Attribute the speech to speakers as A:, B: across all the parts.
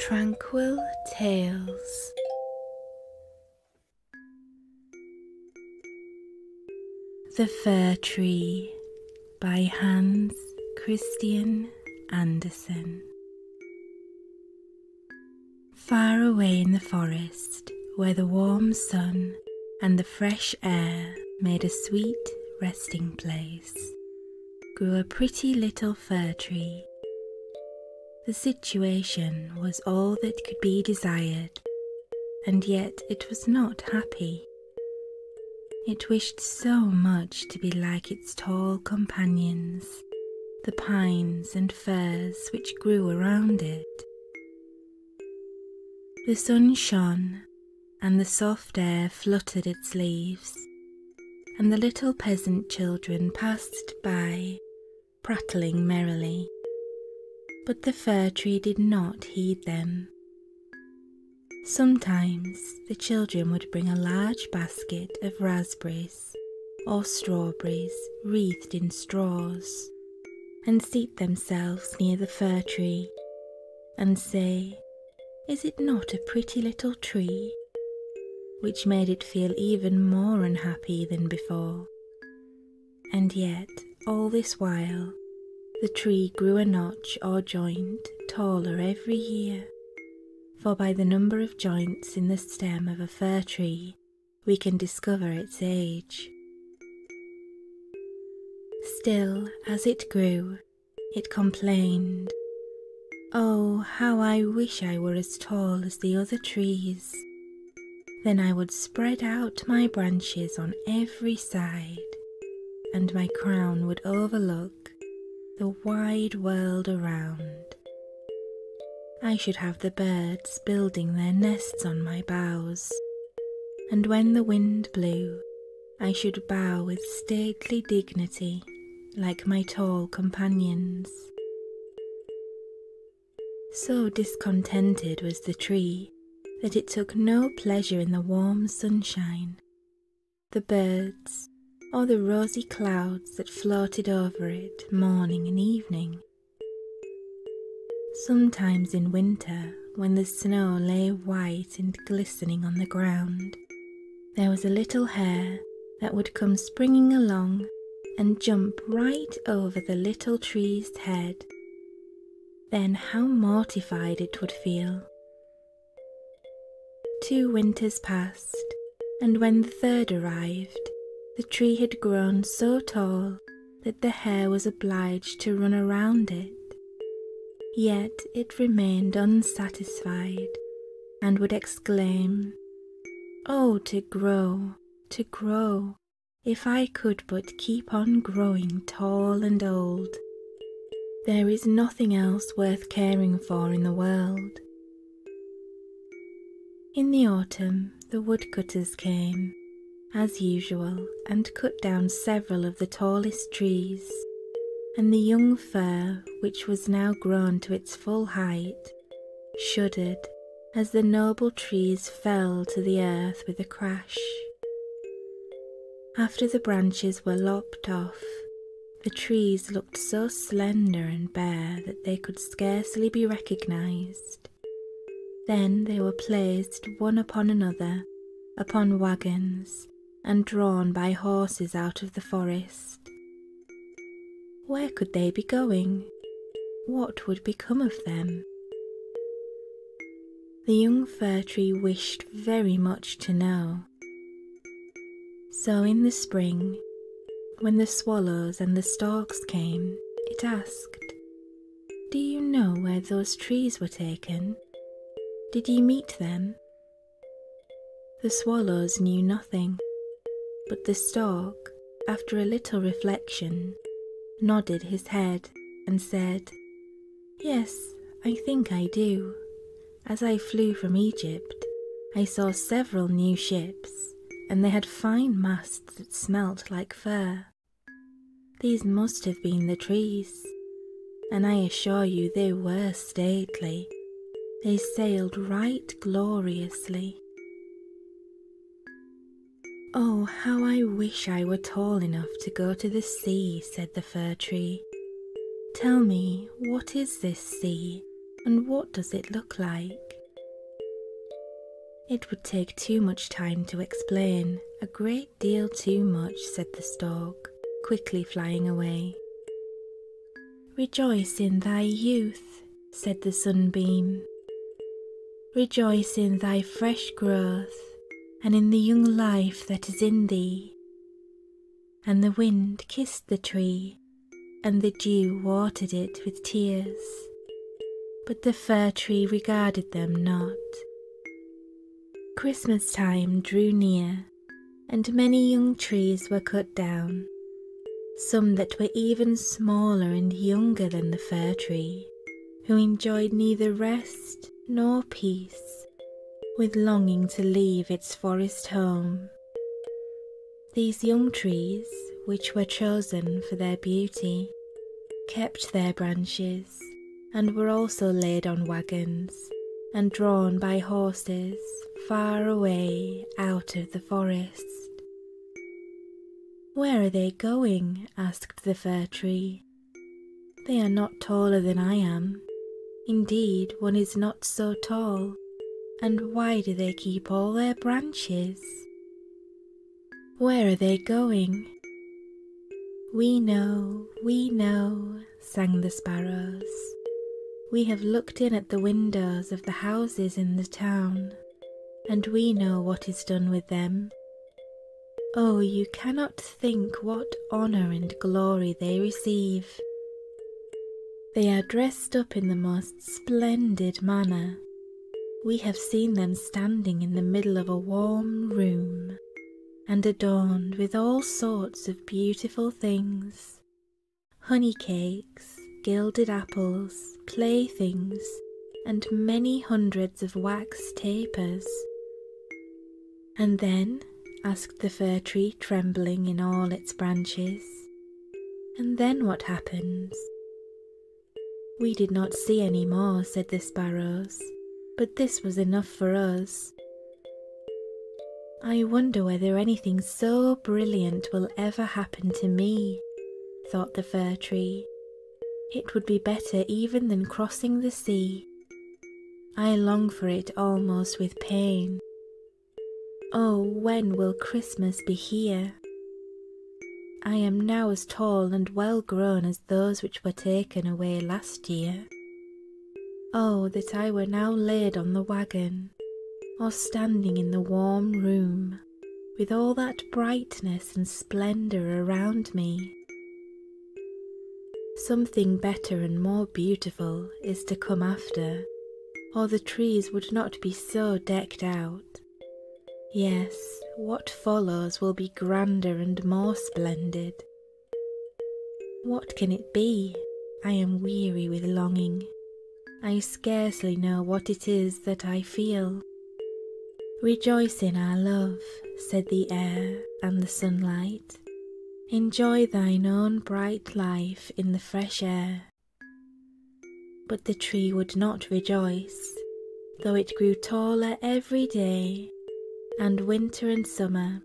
A: Tranquil Tales. The Fir Tree by Hans Christian Andersen. Far away in the forest, where the warm sun and the fresh air made a sweet resting place, grew a pretty little fir tree. The situation was all that could be desired, and yet it was not happy. It wished so much to be like its tall companions, the pines and firs which grew around it. The sun shone, and the soft air fluttered its leaves, and the little peasant children passed by, prattling merrily. But the fir tree did not heed them. Sometimes the children would bring a large basket of raspberries or strawberries wreathed in straws and seat themselves near the fir tree and say, is it not a pretty little tree? Which made it feel even more unhappy than before. And yet, all this while, the tree grew a notch or joint taller every year, for by the number of joints in the stem of a fir tree, we can discover its age. Still, as it grew, it complained, Oh, how I wish I were as tall as the other trees. Then I would spread out my branches on every side, and my crown would overlook the wide world around. I should have the birds building their nests on my boughs, and when the wind blew, I should bow with stately dignity like my tall companions. So discontented was the tree that it took no pleasure in the warm sunshine, the birds, or the rosy clouds that floated over it morning and evening. Sometimes in winter, when the snow lay white and glistening on the ground, there was a little hare that would come springing along and jump right over the little tree's head. Then how mortified it would feel. Two winters passed, and when the third arrived, the tree had grown so tall that the hare was obliged to run around it. Yet it remained unsatisfied and would exclaim, Oh, to grow, to grow, if I could but keep on growing tall and old. There is nothing else worth caring for in the world. In the autumn, the woodcutters came, as usual, and cut down several of the tallest trees, and the young fir, which was now grown to its full height, shuddered as the noble trees fell to the earth with a crash. After the branches were lopped off, the trees looked so slender and bare that they could scarcely be recognised. Then they were placed one upon another, upon wagons, and drawn by horses out of the forest. Where could they be going? What would become of them? The young fir tree wished very much to know. So in the spring, when the swallows and the storks came, it asked, Do you know where those trees were taken? Did you meet them? The swallows knew nothing, but the stork, after a little reflection, nodded his head and said, Yes, I think I do. As I flew from Egypt, I saw several new ships, and they had fine masts that smelt like fir. These must have been the trees, and I assure you they were stately, they sailed right gloriously. Oh, how I wish I were tall enough to go to the sea, said the fir tree. Tell me, what is this sea, and what does it look like? It would take too much time to explain, a great deal too much, said the stork, quickly flying away. Rejoice in thy youth, said the sunbeam. Rejoice in thy fresh growth, and in the young life that is in thee. And the wind kissed the tree, and the dew watered it with tears. But the fir tree regarded them not. Christmas time drew near, and many young trees were cut down, some that were even smaller and younger than the fir tree, who enjoyed neither rest nor peace, with longing to leave its forest home. These young trees, which were chosen for their beauty, kept their branches and were also laid on wagons and drawn by horses far away out of the forest. Where are they going? asked the fir tree. They are not taller than I am. Indeed, one is not so tall. And why do they keep all their branches? Where are they going? We know, we know, sang the sparrows. We have looked in at the windows of the houses in the town, and we know what is done with them. Oh, you cannot think what honour and glory they receive. They are dressed up in the most splendid manner. We have seen them standing in the middle of a warm room and adorned with all sorts of beautiful things, honey cakes, gilded apples, playthings, and many hundreds of wax tapers. And then, asked the fir tree, trembling in all its branches, and then what happens? We did not see any more, said the sparrows, but this was enough for us. I wonder whether anything so brilliant will ever happen to me, thought the fir tree. It would be better even than crossing the sea. I long for it almost with pain. Oh, when will Christmas be here? I am now as tall and well grown as those which were taken away last year. Oh, that I were now laid on the wagon, or standing in the warm room with all that brightness and splendour around me. Something better and more beautiful is to come after, or the trees would not be so decked out. Yes, what follows will be grander and more splendid, what can it be? I am weary with longing. I scarcely know what it is that I feel. Rejoice in our love, said the air and the sunlight. Enjoy thine own bright life in the fresh air. But the tree would not rejoice, though it grew taller every day, and winter and summer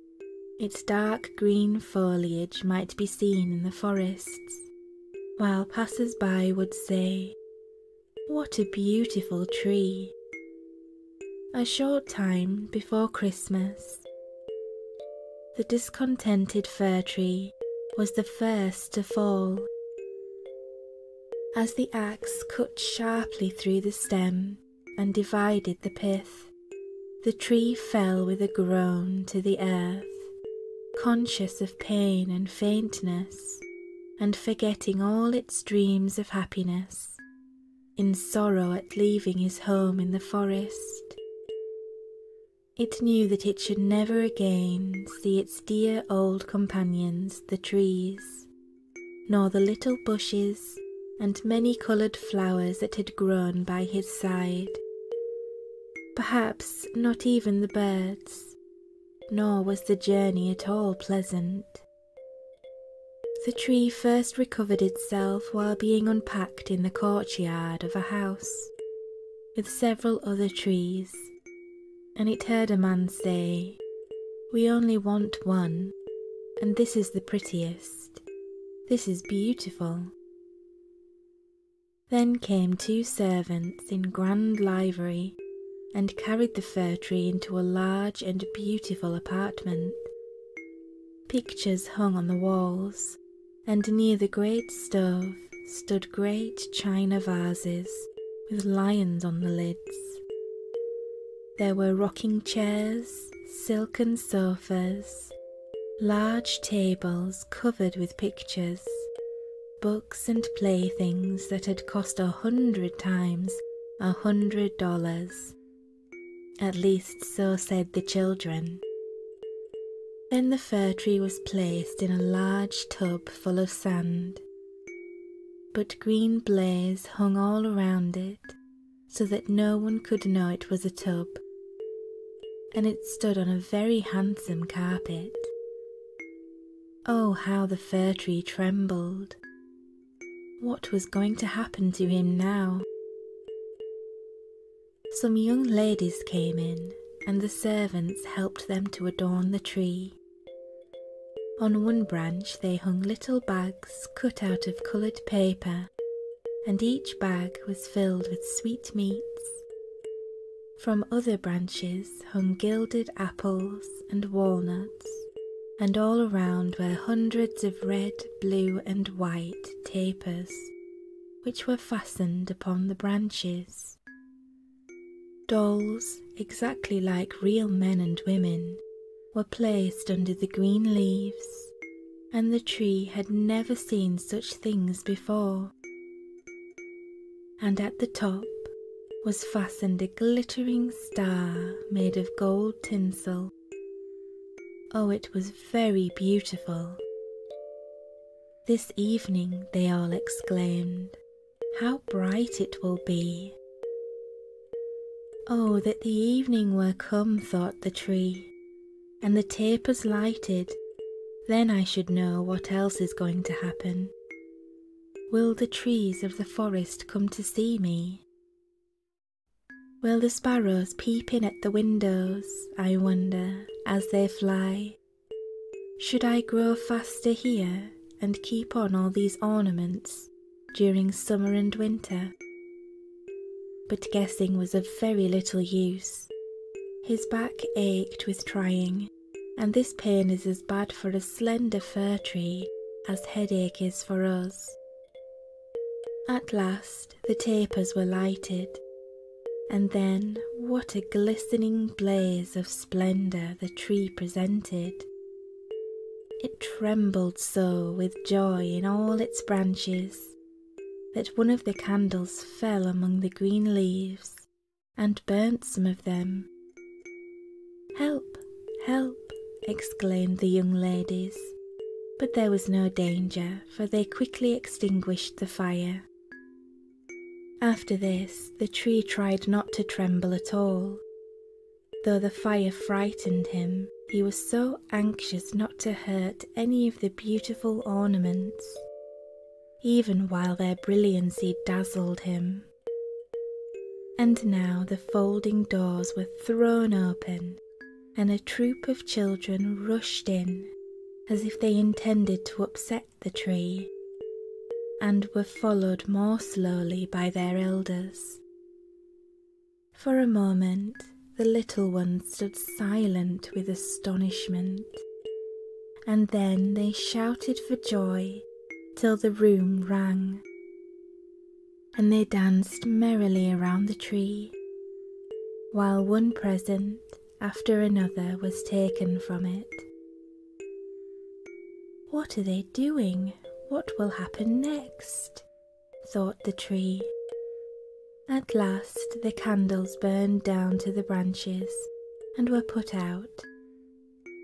A: its dark green foliage might be seen in the forests, while passers by would say, What a beautiful tree! A short time before Christmas, the discontented fir tree was the first to fall. As the axe cut sharply through the stem and divided the pith, the tree fell with a groan to the earth, conscious of pain and faintness, and forgetting all its dreams of happiness, in sorrow at leaving his home in the forest. It knew that it should never again see its dear old companions, the trees, nor the little bushes and many coloured flowers that had grown by his side. Perhaps not even the birds, nor was the journey at all pleasant. The tree first recovered itself while being unpacked in the courtyard of a house, with several other trees, and it heard a man say, We only want one, and this is the prettiest. This is beautiful. Then came two servants in grand livery and carried the fir tree into a large and beautiful apartment. Pictures hung on the walls, and near the great stove stood great china vases with lions on the lids. There were rocking chairs, silken sofas, large tables covered with pictures, books and playthings that had cost a hundred times a hundred dollars. At least so said the children. Then the fir tree was placed in a large tub full of sand, but green blazes hung all around it so that no one could know it was a tub, and it stood on a very handsome carpet. Oh, how the fir tree trembled! What was going to happen to him now? Some young ladies came in, and the servants helped them to adorn the tree. On one branch they hung little bags cut out of coloured paper and each bag was filled with sweetmeats. From other branches hung gilded apples and walnuts, and all around were hundreds of red, blue, and white tapers, which were fastened upon the branches. Dolls, exactly like real men and women, were placed under the green leaves and the tree had never seen such things before. And at the top was fastened a glittering star made of gold tinsel. Oh, it was very beautiful. This evening, they all exclaimed, how bright it will be. Oh, that the evening were come, thought the tree, and the tapers lighted, then I should know what else is going to happen. Will the trees of the forest come to see me? Will the sparrows peep in at the windows, I wonder, as they fly? Should I grow faster here and keep on all these ornaments during summer and winter? But guessing was of very little use. His back ached with trying, and this pain is as bad for a slender fir tree as headache is for us. At last the tapers were lighted, and then what a glistening blaze of splendour the tree presented. It trembled so with joy in all its branches that one of the candles fell among the green leaves and burnt some of them. Help, help, exclaimed the young ladies, but there was no danger, for they quickly extinguished the fire. After this, the tree tried not to tremble at all. Though the fire frightened him, he was so anxious not to hurt any of the beautiful ornaments, even while their brilliancy dazzled him. And now the folding doors were thrown open, and a troop of children rushed in, as if they intended to upset the tree, and were followed more slowly by their elders. For a moment, the little ones stood silent with astonishment, and then they shouted for joy till the room rang, and they danced merrily around the tree, while one present after another was taken from it. What are they doing? What will happen next? thought the tree. At last the candles burned down to the branches and were put out.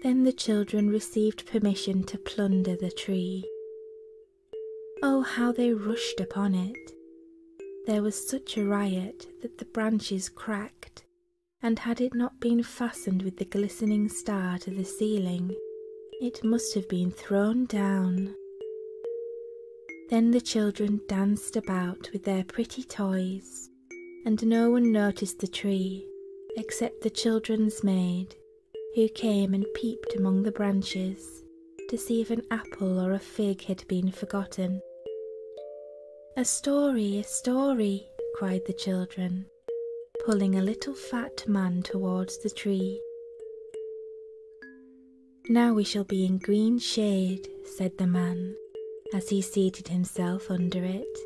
A: Then the children received permission to plunder the tree. Oh, how they rushed upon it! There was such a riot that the branches cracked, and had it not been fastened with the glistening star to the ceiling, it must have been thrown down. Then the children danced about with their pretty toys, and no one noticed the tree except the children's maid, who came and peeped among the branches to see if an apple or a fig had been forgotten. A story, a story, cried the children, pulling a little fat man towards the tree. Now we shall be in green shade, said the man, as he seated himself under it,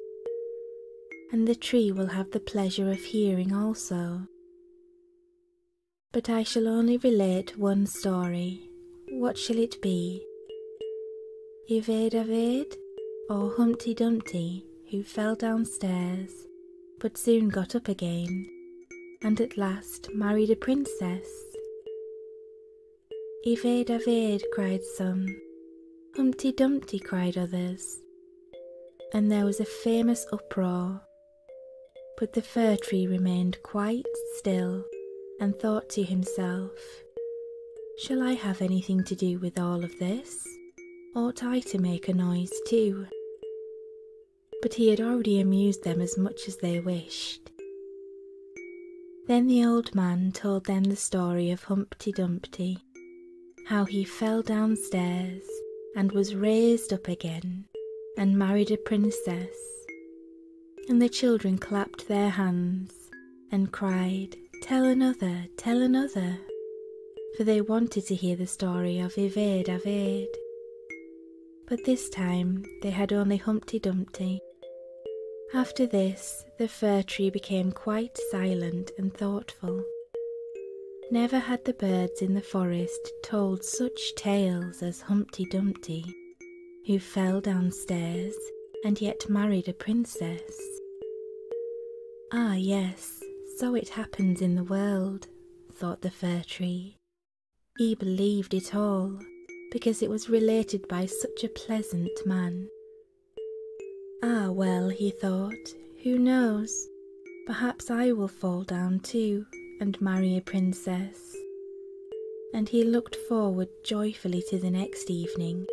A: and the tree will have the pleasure of hearing also. But I shall only relate one story. What shall it be? Ived Aved, or Humpty Dumpty, who fell downstairs but soon got up again, and at last married a princess. Evade, evade, cried some. Humpty Dumpty, cried others. And there was a famous uproar. But the fir tree remained quite still and thought to himself, Shall I have anything to do with all of this? Ought I to make a noise too? but he had already amused them as much as they wished. Then the old man told them the story of Humpty Dumpty, how he fell downstairs and was raised up again and married a princess. And the children clapped their hands and cried, Tell another, tell another, for they wanted to hear the story of Evade Avade but this time they had only Humpty Dumpty. After this, the fir tree became quite silent and thoughtful. Never had the birds in the forest told such tales as Humpty Dumpty, who fell downstairs and yet married a princess. Ah, yes, so it happens in the world, thought the fir tree he believed it all because it was related by such a pleasant man. Ah, well, he thought, who knows? Perhaps I will fall down too and marry a princess. And he looked forward joyfully to the next evening,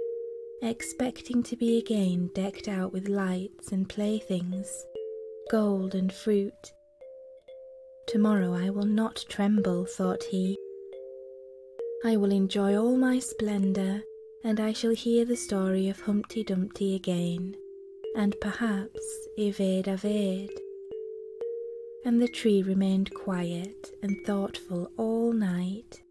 A: expecting to be again decked out with lights and playthings, gold and fruit, Tomorrow I will not tremble, thought he. I will enjoy all my splendour, and I shall hear the story of Humpty Dumpty again, and perhaps evade evade. And the tree remained quiet and thoughtful all night.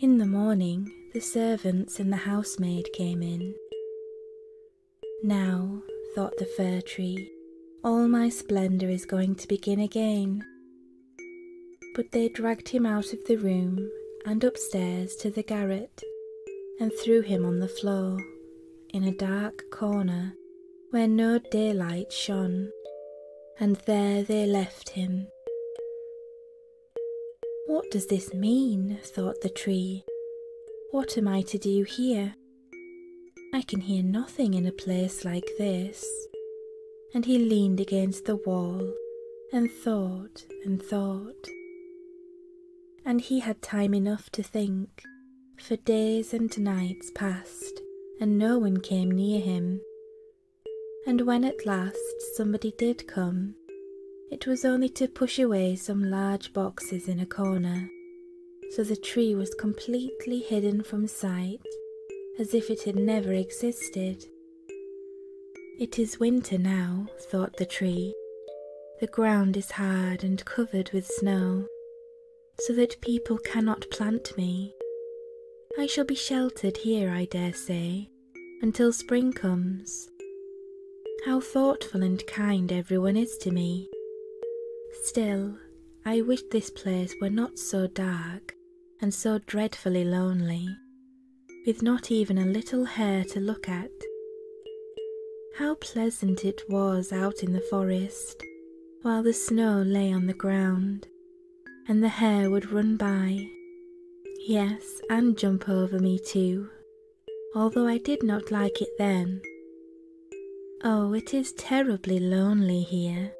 A: In the morning, the servants and the housemaid came in. Now, thought the fir tree, all my splendour is going to begin again. But they dragged him out of the room and upstairs to the garret and threw him on the floor in a dark corner where no daylight shone, and there they left him. What does this mean? thought the tree. What am I to do here? I can hear nothing in a place like this. And he leaned against the wall and thought and thought. And he had time enough to think, for days and nights passed, and no one came near him. And when at last somebody did come, it was only to push away some large boxes in a corner, so the tree was completely hidden from sight, as if it had never existed. It is winter now, thought the tree. The ground is hard and covered with snow, so that people cannot plant me. I shall be sheltered here, I dare say, until spring comes. How thoughtful and kind everyone is to me. Still, I wish this place were not so dark and so dreadfully lonely, with not even a little hare to look at. How pleasant it was out in the forest, while the snow lay on the ground, and the hare would run by, yes, and jump over me too, although I did not like it then. Oh, it is terribly lonely here.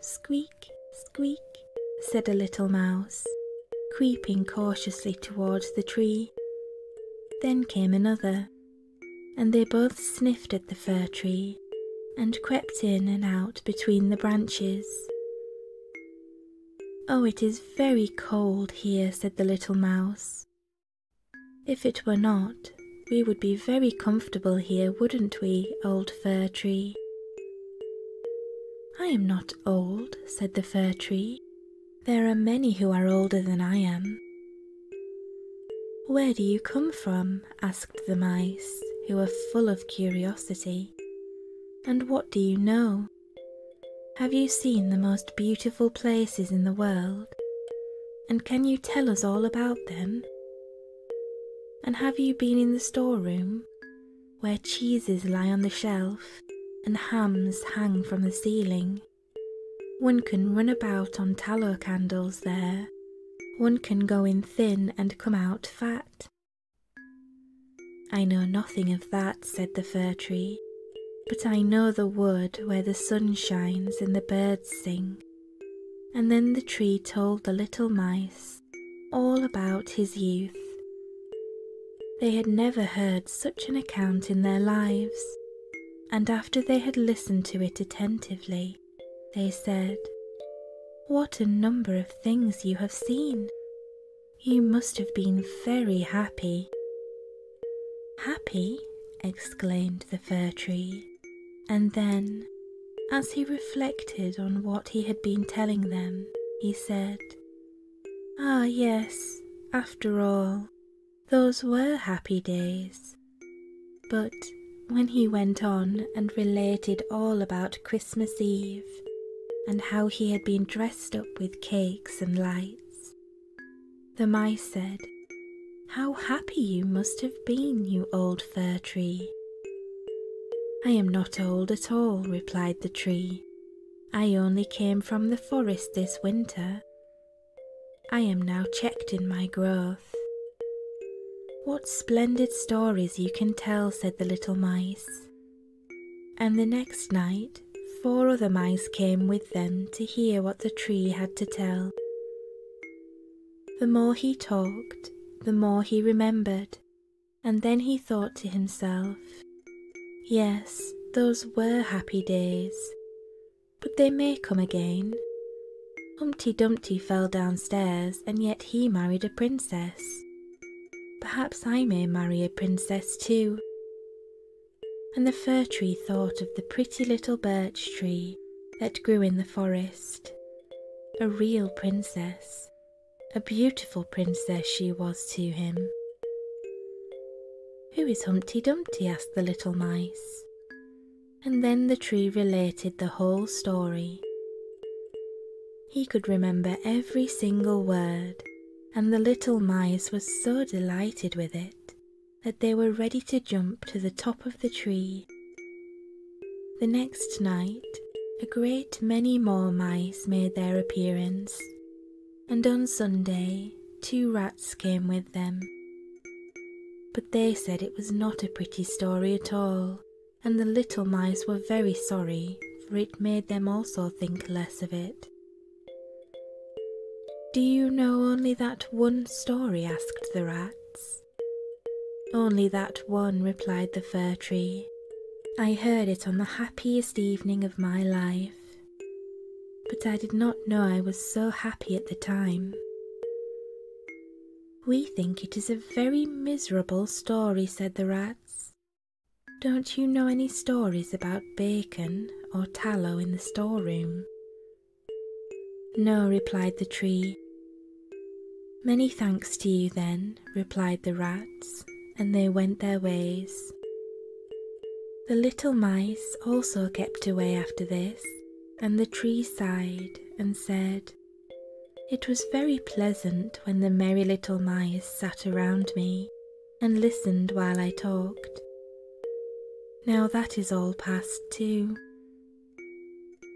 A: Squeak, squeak, said a little mouse, creeping cautiously towards the tree. Then came another, and they both sniffed at the fir tree and crept in and out between the branches. Oh, it is very cold here, said the little mouse. If it were not, we would be very comfortable here, wouldn't we, old fir tree? I am not old, said the fir tree. There are many who are older than I am. Where do you come from? asked the mice, who were full of curiosity. And what do you know? Have you seen the most beautiful places in the world? And can you tell us all about them? And have you been in the storeroom, where cheeses lie on the shelf and hams hang from the ceiling? One can run about on tallow candles there. One can go in thin and come out fat. I know nothing of that, said the fir tree, but I know the wood where the sun shines and the birds sing. And then the tree told the little mice all about his youth. They had never heard such an account in their lives, and after they had listened to it attentively, they said, What a number of things you have seen! You must have been very happy. Happy? exclaimed the fir tree, and then, as he reflected on what he had been telling them, he said, Ah, yes, after all, those were happy days. But when he went on and related all about Christmas Eve and how he had been dressed up with cakes and lights, the mice said, How happy you must have been, you old fir tree. I am not old at all, replied the tree. I only came from the forest this winter. I am now checked in my growth. What splendid stories you can tell, said the little mice. And the next night, four other mice came with them to hear what the tree had to tell. The more he talked, the more he remembered, and then he thought to himself, Yes, those were happy days, but they may come again. Humpty Dumpty fell downstairs, and yet he married a princess. Perhaps I may marry a princess too and the fir tree thought of the pretty little birch tree that grew in the forest. A real princess, a beautiful princess she was to him. Who is Humpty Dumpty? asked the little mice. And then the tree related the whole story. He could remember every single word and the little mice were so delighted with it that they were ready to jump to the top of the tree. The next night, a great many more mice made their appearance, and on Sunday, two rats came with them. But they said it was not a pretty story at all, and the little mice were very sorry, for it made them also think less of it do you know only that one story? asked the rats. Only that one, replied the fir tree. I heard it on the happiest evening of my life, but I did not know I was so happy at the time. We think it is a very miserable story, said the rats, don't you know any stories about bacon or tallow in the storeroom? No, replied the tree. Many thanks to you then, replied the rats, and they went their ways. The little mice also kept away after this, and the tree sighed and said, It was very pleasant when the merry little mice sat around me, and listened while I talked. Now that is all past too.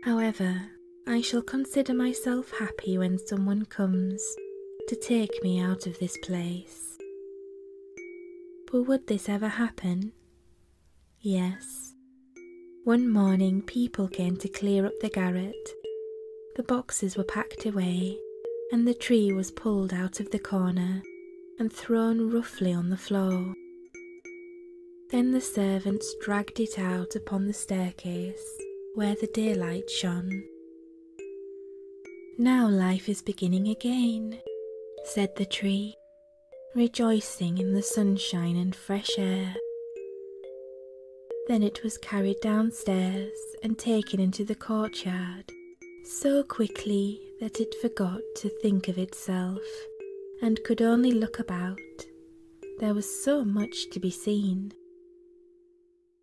A: However, I shall consider myself happy when someone comes to take me out of this place. But would this ever happen? Yes. One morning, people came to clear up the garret. The box boxes were packed away, and the tree was pulled out of the corner and thrown roughly on the floor. Then the servants dragged it out upon the staircase where the daylight shone. Now life is beginning again, said the tree, rejoicing in the sunshine and fresh air. Then it was carried downstairs and taken into the courtyard so quickly that it forgot to think of itself and could only look about. There was so much to be seen.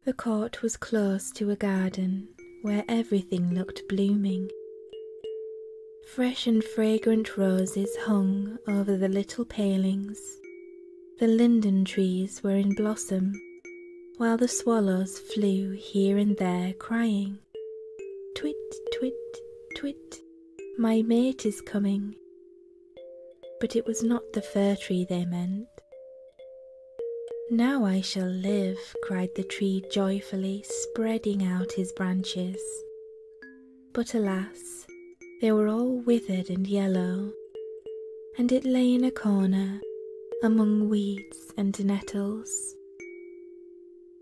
A: The court was close to a garden where everything looked blooming. Fresh and fragrant roses hung over the little palings. The linden trees were in blossom while the swallows flew here and there crying, Twit, twit, twit, my mate is coming. But it was not the fir tree they meant. Now I shall live, cried the tree joyfully, spreading out his branches. But alas, they were all withered and yellow, and it lay in a corner among weeds and nettles.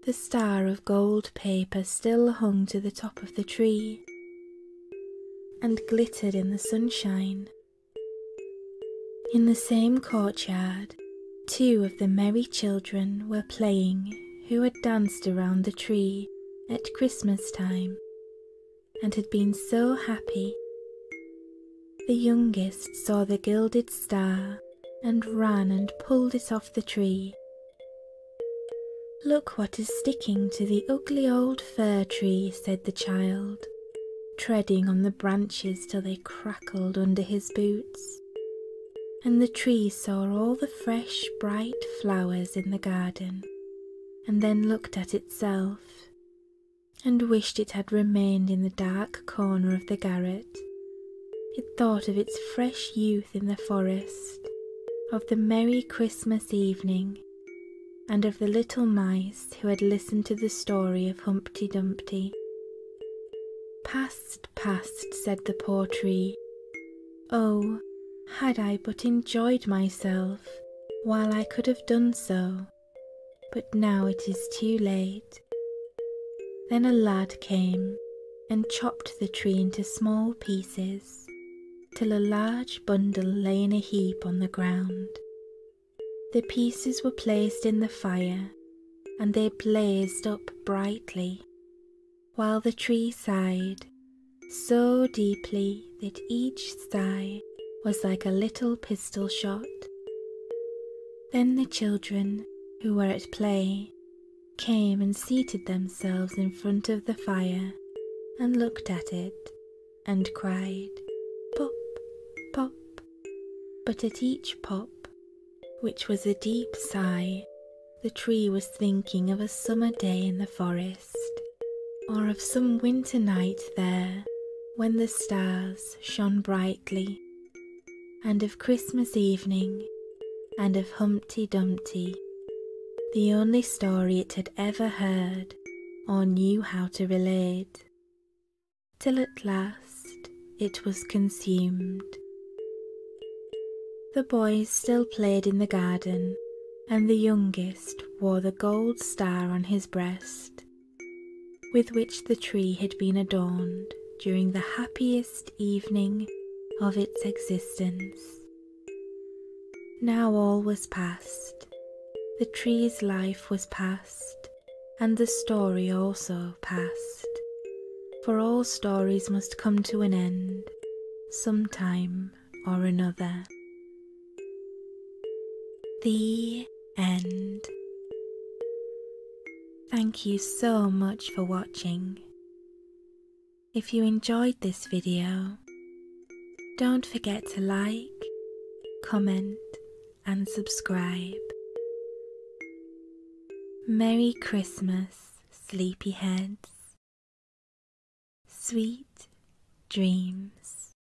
A: The star of gold paper still hung to the top of the tree and glittered in the sunshine. In the same courtyard, two of the merry children were playing who had danced around the tree at Christmas time and had been so happy. The youngest saw the gilded star and ran and pulled it off the tree. Look what is sticking to the ugly old fir tree, said the child, treading on the branches till they crackled under his boots. And the tree saw all the fresh, bright flowers in the garden, and then looked at itself and wished it had remained in the dark corner of the garret. It thought of its fresh youth in the forest, of the merry Christmas evening, and of the little mice who had listened to the story of Humpty Dumpty. Past, past, said the poor tree. Oh, had I but enjoyed myself while I could have done so but now it is too late. Then a lad came and chopped the tree into small pieces till a large bundle lay in a heap on the ground. The pieces were placed in the fire and they blazed up brightly, while the tree sighed so deeply that each sigh was like a little pistol shot. Then the children, who were at play, came and seated themselves in front of the fire and looked at it and cried, Pop, pop. But at each pop, which was a deep sigh, the tree was thinking of a summer day in the forest, or of some winter night there when the stars shone brightly, and of Christmas evening, and of Humpty Dumpty, the only story it had ever heard or knew how to relate, till at last it was consumed. The boys still played in the garden, and the youngest wore the gold star on his breast with which the tree had been adorned during the happiest evening of its existence. Now all was past, the tree's life was past, and the story also past, for all stories must come to an end, some time or another. The end. Thank you so much for watching. If you enjoyed this video, don't forget to like, comment and subscribe. Merry Christmas, sleepyheads. Sweet dreams.